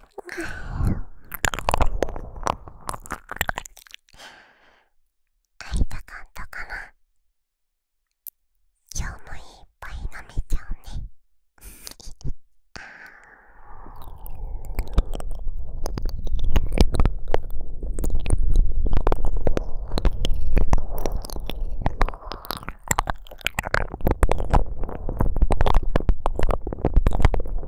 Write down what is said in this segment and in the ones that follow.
会いたかったかな今日もいっぱい飲めちゃうね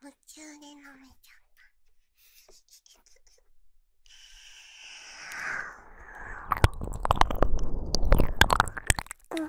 夢中で飲めちゃった。うん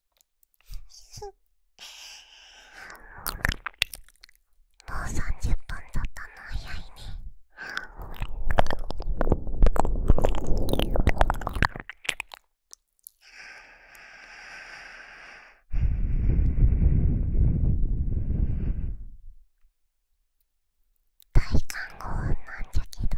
もう30分だったの早いね。大感運なんじゃけど…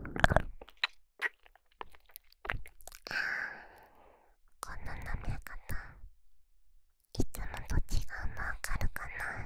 あこの舐め方いつもと違うのわかるかな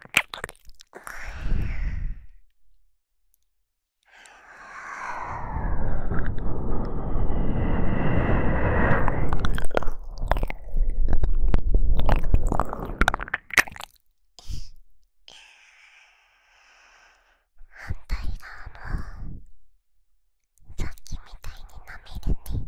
反対側もさっきみたいになめるね。